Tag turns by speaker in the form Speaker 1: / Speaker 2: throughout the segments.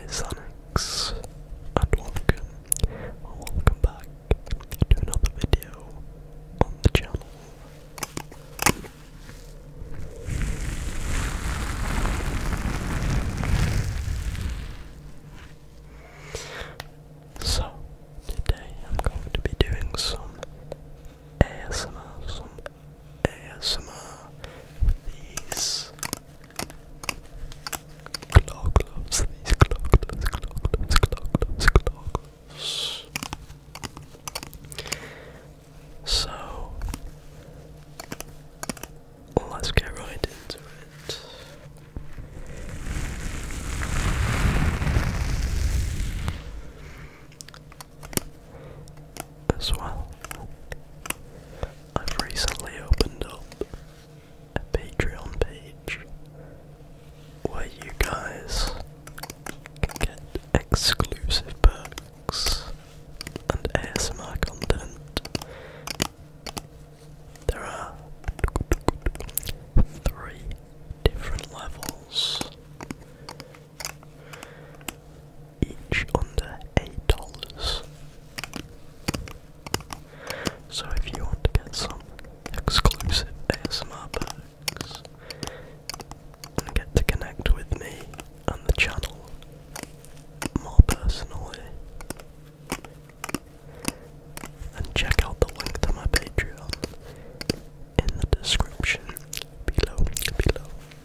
Speaker 1: is Onyx, and welcome, welcome back to another video on the channel. So, today I'm going to be doing some ASMR, ASMR these claw these claw gloves, claw gloves, claw gloves, claw So let's get right into it as well. I've recently opened up a Patreon page where you guys get exclusive perks and ASMR content. There are three different levels each under $8. So if you want to get some exclusive ASMR perks get to connect with me and the channel more personally, and check out the link to my Patreon in the description below below.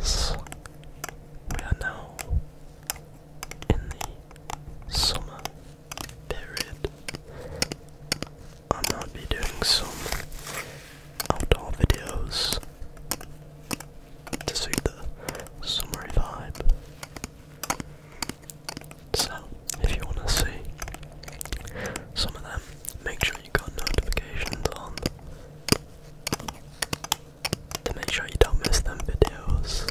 Speaker 1: As we are now in the summer period, I might be doing some outdoor videos to suit the summery vibe. So, if you want to see some of them, make sure you got notifications on to make sure you don't miss them videos.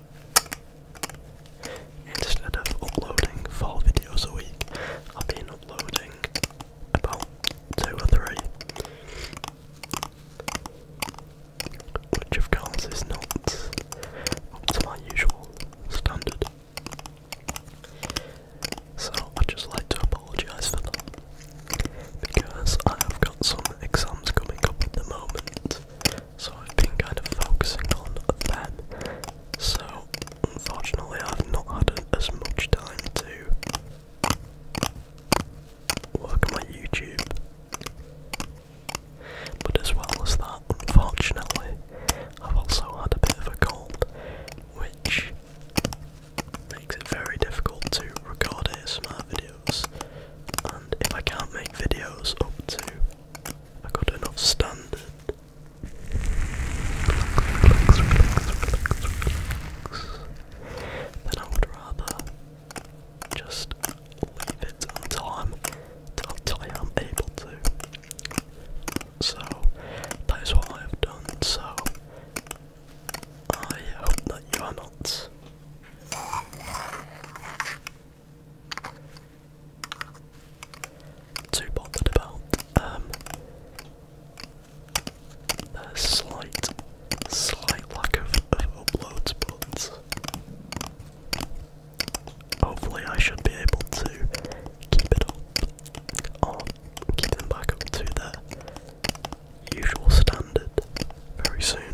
Speaker 1: Instead of uploading four videos a week, I've been uploading about two or three. Which of course is not up to my usual standard. So I'd just like to apologise for that. Because I have got some exams coming up at the moment so I've been kind of focusing on them. So unfortunately, I've not had as much time to work on my YouTube. But as well as that, unfortunately, I've also had a bit of a cold, which makes it very difficult to record ASMR videos. And if I can't make videos up to I got enough standard. Then I would rather just leave it until I am able to. So that is what I have done. So I hope that you are not too bothered about. Um, a slight, slight lack of, of uploads, hopefully I should be able to keep it up keep them back up to the usual standard very soon.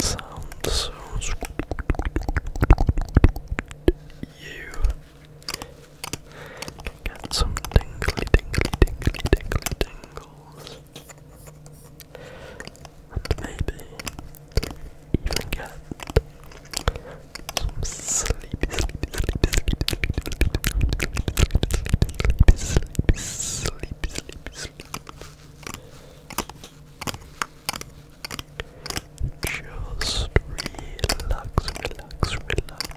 Speaker 1: Sound sounds you get some tingly tingly tingly tingly tingles and maybe even get some sleep, Just relax, relax, relax.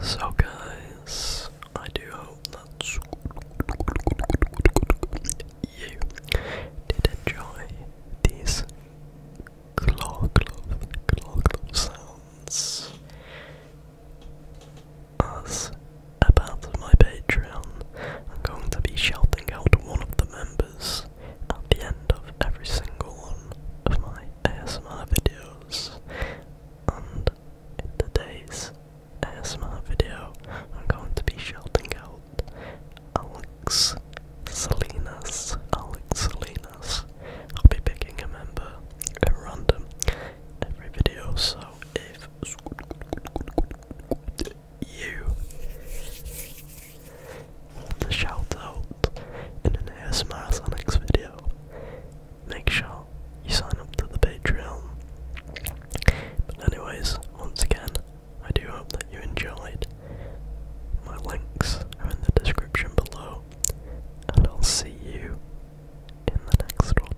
Speaker 1: So, guys, I do hope that did enjoy these claw glove, claw sounds. As a my Patreon, I'm going to be shouting out one of the members at the end of every single one of my ASMR videos. And in today's ASMR video, I'm going to be shouting out Alex Salinas. Alex Salinas. I'll be picking a member at random every video, so if you. The shout out in an ASMR Sonics video. Make sure you sign up to the Patreon. But anyways, once again, I do hope that you enjoyed. My links are in the description below, and I'll see you in the next one.